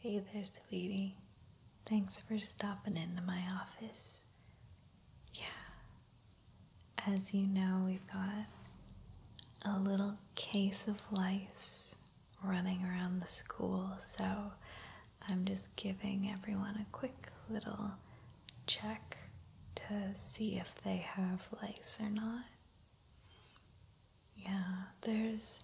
Hey there, sweetie. Thanks for stopping into my office. Yeah. As you know, we've got a little case of lice running around the school, so I'm just giving everyone a quick little check to see if they have lice or not. Yeah, there's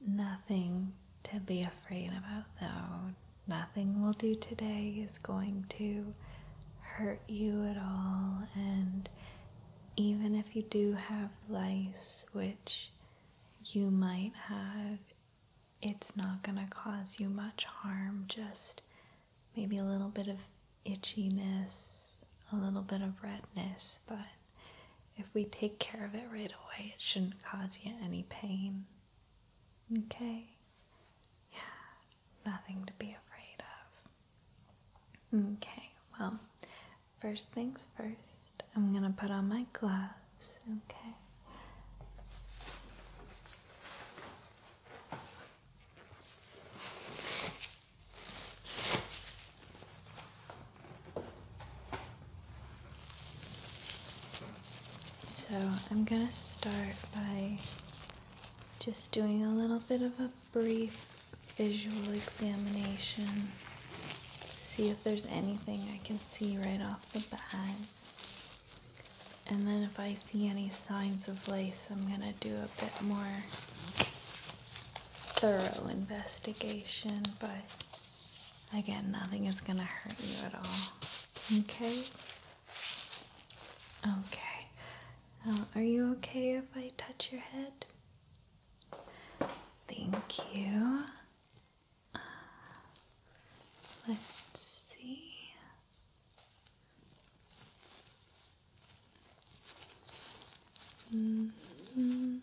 nothing to be afraid about, though. Nothing we'll do today is going to hurt you at all, and even if you do have lice, which you might have, it's not going to cause you much harm. Just maybe a little bit of itchiness, a little bit of redness, but if we take care of it right away, it shouldn't cause you any pain. Okay? Yeah, nothing to be afraid of. Okay, well, first things first, I'm gonna put on my gloves, okay? So I'm going to start by just doing a little bit of a brief visual examination. See if there's anything I can see right off the bat. And then if I see any signs of lace, I'm going to do a bit more thorough investigation, but again, nothing is going to hurt you at all. Okay? Okay. Uh, are you okay if I touch your head? Thank you. Uh, let's see. Mm-hmm.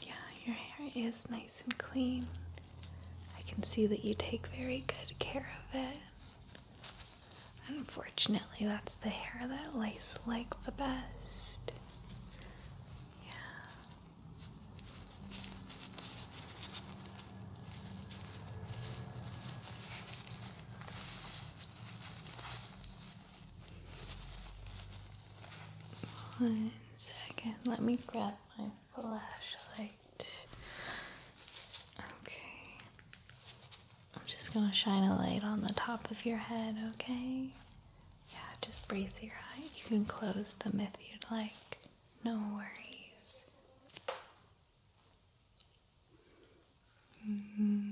Yeah, your hair is nice and clean. I can see that you take very good care of it. Unfortunately, that's the hair that lice like the best. Yeah. One second, let me grab my flashlight. Okay. I'm just gonna shine a light on the top of your head, okay? Yeah, just brace your eye. You can close them if you'd like. No worries. Mm-hmm.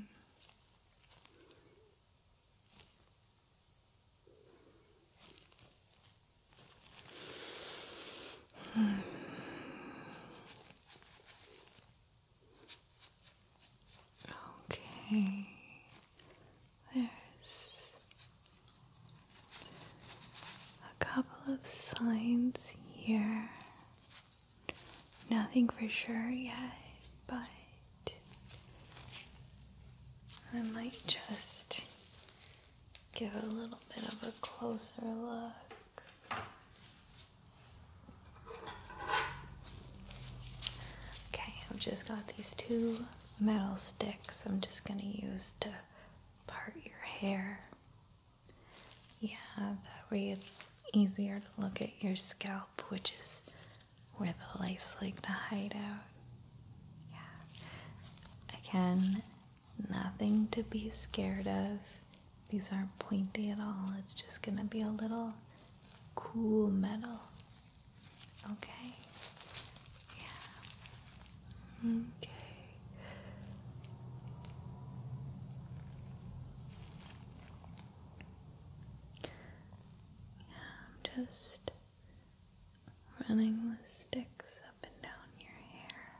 Okay. There's a couple of signs here. Nothing for sure yet, but I might just give a little bit of a closer look. Okay, I've just got these two metal sticks I'm just going to use to part your hair. Yeah, that way it's easier to look at your scalp, which is where the lice like to hide out. Yeah. Again, nothing to be scared of. These aren't pointy at all. It's just going to be a little cool metal Okay. Yeah. Okay. Yeah, I'm just running the sticks up and down your hair.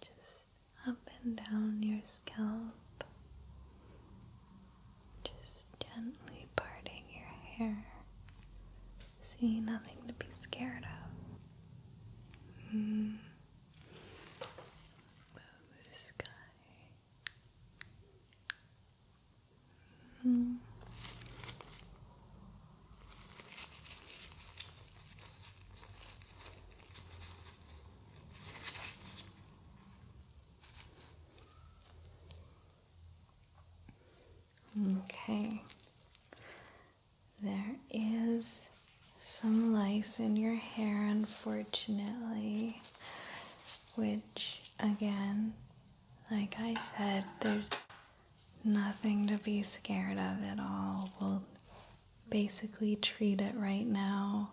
Just up and down your scalp. Just gently parting your hair. See, nothing to be scared of. About mm. the sky. Mm. Okay, there is some lice in your hair, unfortunately, which again, like I said, there's nothing to be scared of at all. We'll basically treat it right now,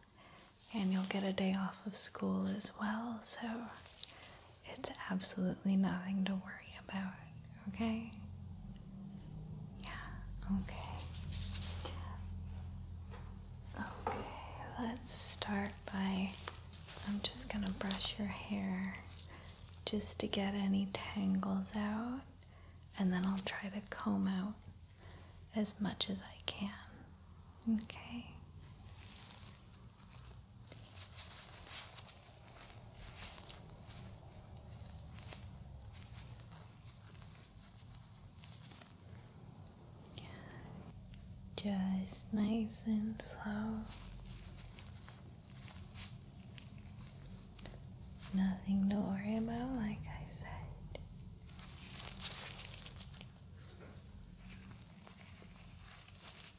and you'll get a day off of school as well, so it's absolutely nothing to worry about, okay? Yeah, okay. Okay, let's start by. I'm just gonna brush your hair just to get any tangles out, and then I'll try to comb out as much as I can. Okay. Just nice and slow. Nothing to worry about, like I said.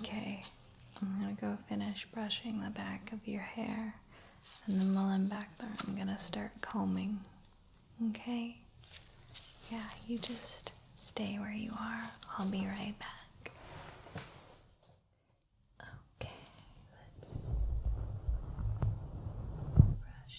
Okay, I'm gonna go finish brushing the back of your hair and then while I'm back there, I'm gonna start combing. Okay? Yeah, you just stay where you are. I'll be right back. Okay, let's brush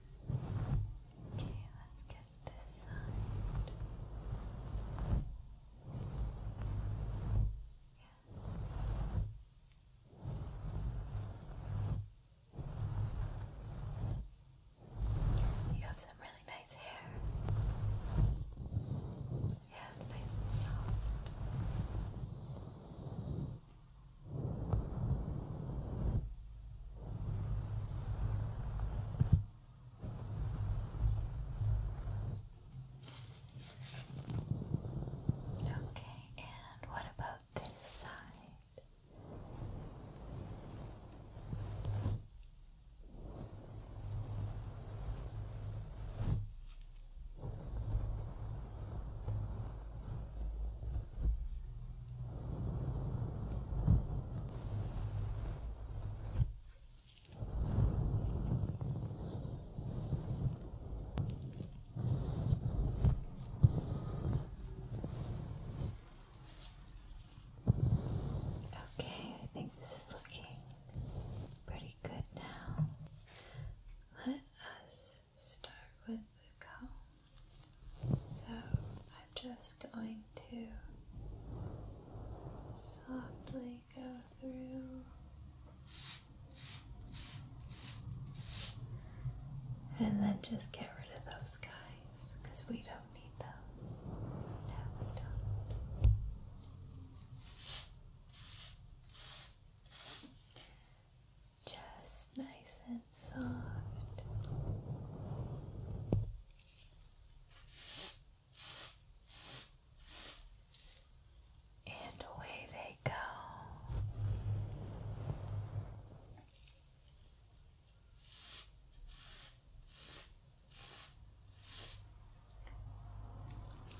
Okay, let's get this side. Yeah. You have some really nice hair. Yeah, it's nice and soft. Okay, and what about this side? Okay, I think this is looking pretty good now. Let us start with the comb. So I'm just going to softly go through and then just get rid of those guys because we don't need those. No, we don't just nice and soft. And away they go.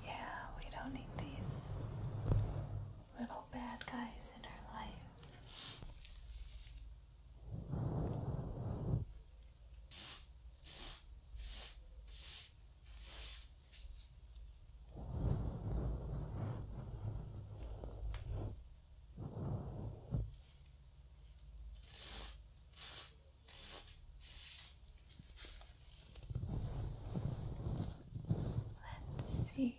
Yeah, we don't need these little bad guys in her life. Let's see.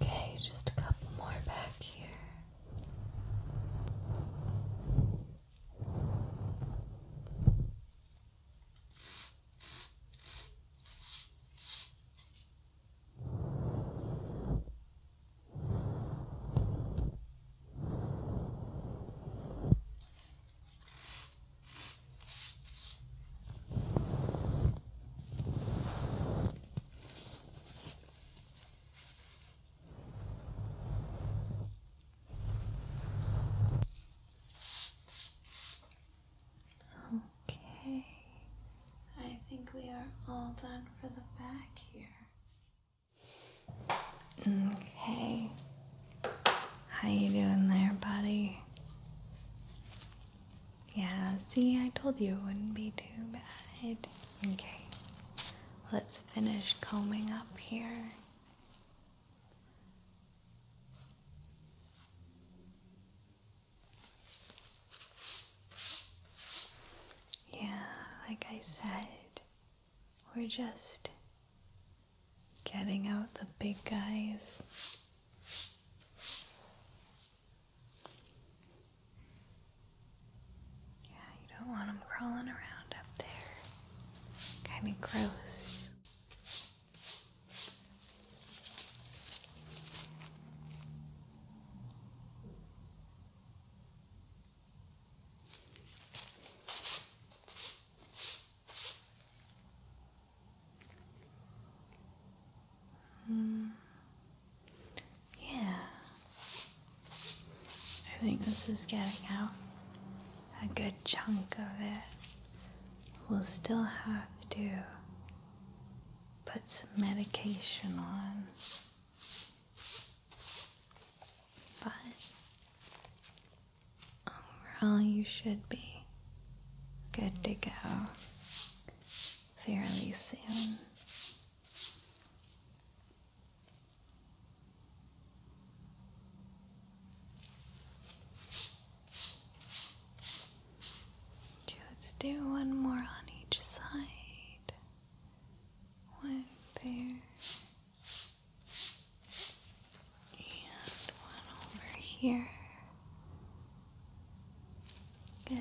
Okay, just a couple more back here. Okay, I think we are all done for the back here. Okay. How you doing there, buddy? Yeah, see, I told you it wouldn't be too bad. Okay. Let's finish combing up here. Yeah, like I said, we're just getting out the big guys. Yeah, you don't want them crawling around up there. Kind of gross. Hmm. Yeah. I think this is getting out a good chunk of it. We'll still have to put some medication on. But overall, you should be good to go fairly soon. Okay, let's do one more on each side. One there. And one over here. Good.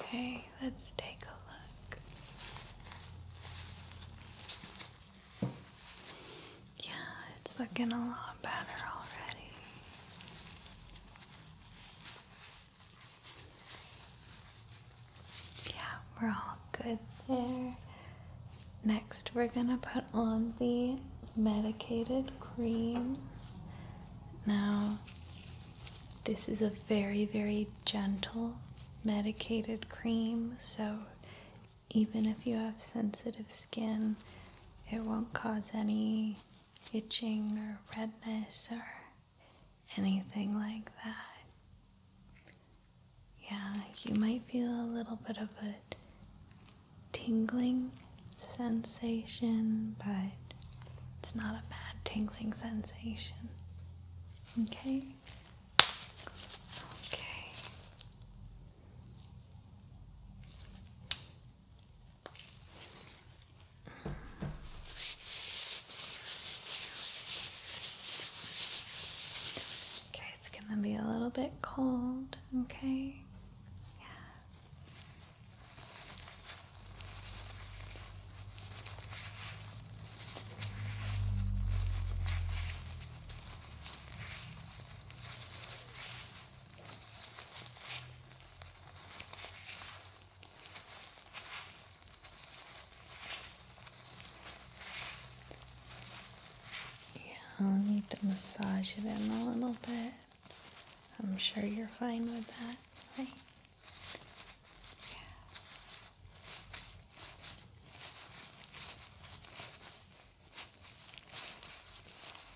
Okay, let's take a look. Yeah, it's looking a lot better already. Yeah, we're all good there. Next, we're gonna put on the medicated cream. Now, this is a very, very gentle medicated cream, so even if you have sensitive skin, it won't cause any itching or redness or anything like that. Yeah, you might feel a little bit of a tingling sensation, but it's not a bad tingling sensation. Okay? Okay. Okay, it's gonna be a little bit cold, okay? Yeah. Yeah, I'll need to massage it in a little bit. I'm sure you're fine with that, right? Yeah.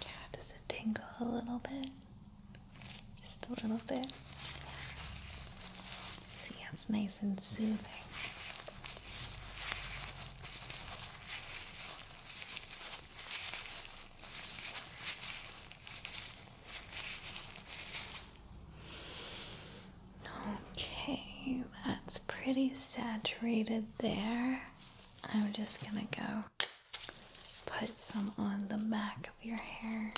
Yeah, does it tingle a little bit? Just a little bit. Yeah. See, it's nice and soothing. Okay, that's pretty saturated there. I'm just gonna go put some on the back of your hair.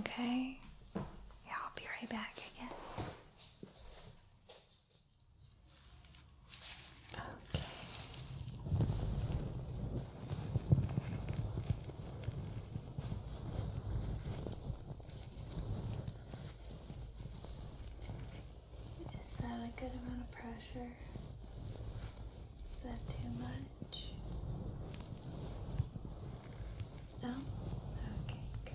Okay? Yeah, I'll be right back again. Okay. Is that a good amount of pressure? Is that too much? No? Okay, good.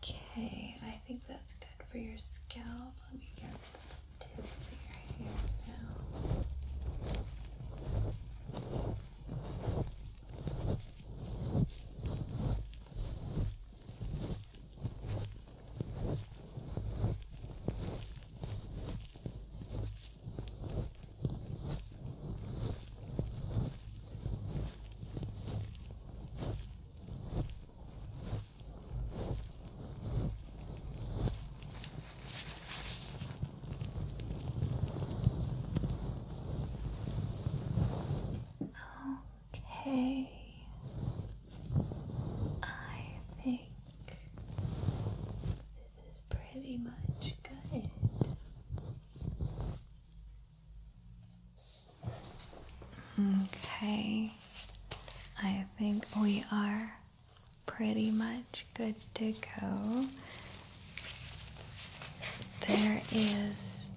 Okay, I think that's good for your scalp. Let me get the tips now. Okay, I think this is pretty much good. Okay, I think we are pretty much good to go. There is.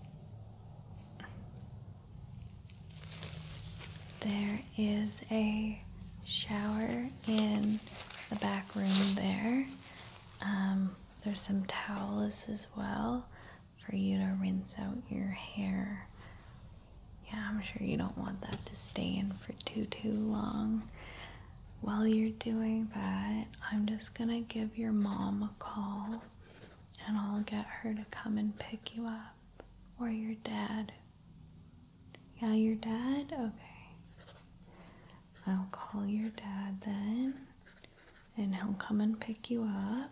There is a shower in the back room there. Um, there's some towels as well for you to rinse out your hair. Yeah, I'm sure you don't want that to stay in for too, too long. While you're doing that, I'm just gonna give your mom a call and I'll get her to come and pick you up. Or your dad. Yeah, your dad? Okay. I'll call your dad then and he'll come and pick you up.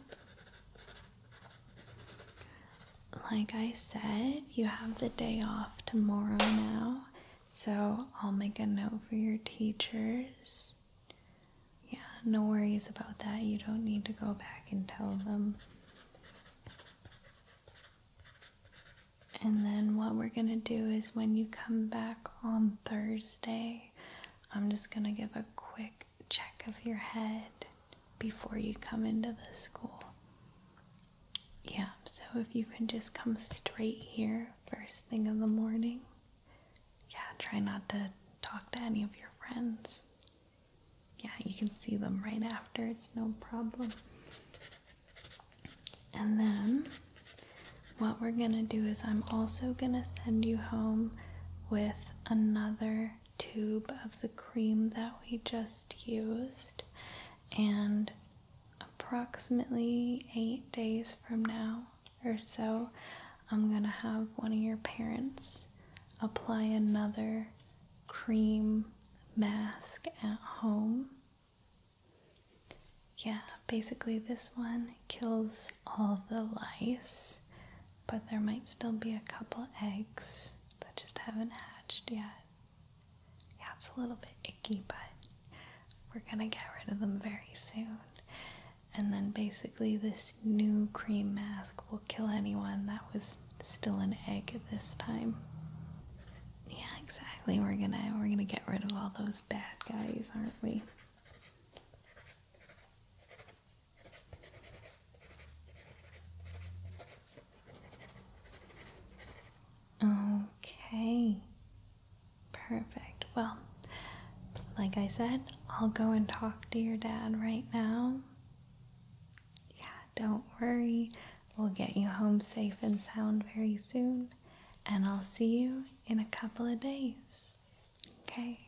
Like I said, you have the day off tomorrow now, so I'll make a note for your teachers. Yeah, no worries about that. You don't need to go back and tell them. And then what we're going to do is when you come back on Thursday, I'm just going to give a quick check of your head before you come into the school. Yeah, so if you can just come straight here first thing in the morning. Yeah, try not to talk to any of your friends. Yeah, you can see them right after, it's no problem. And then what we're gonna do is I'm also gonna send you home with another tube of the cream that we just used, and approximately eight days from now or so, I'm gonna have one of your parents apply another cream mask at home. Yeah, basically, this one kills all the lice, but there might still be a couple eggs that just haven't hatched yet. Yeah, it's a little bit icky, but we're gonna get rid of them very soon. And then basically, this new cream mask will kill anyone that was still an egg at this time. Yeah, exactly. We're gonna we're gonna get rid of all those bad guys, aren't we? Okay. Perfect. Well, like I said, I'll go and talk to your dad right now. Yeah, don't worry. We'll get you home safe and sound very soon, and I'll see you in a couple of days. Okay.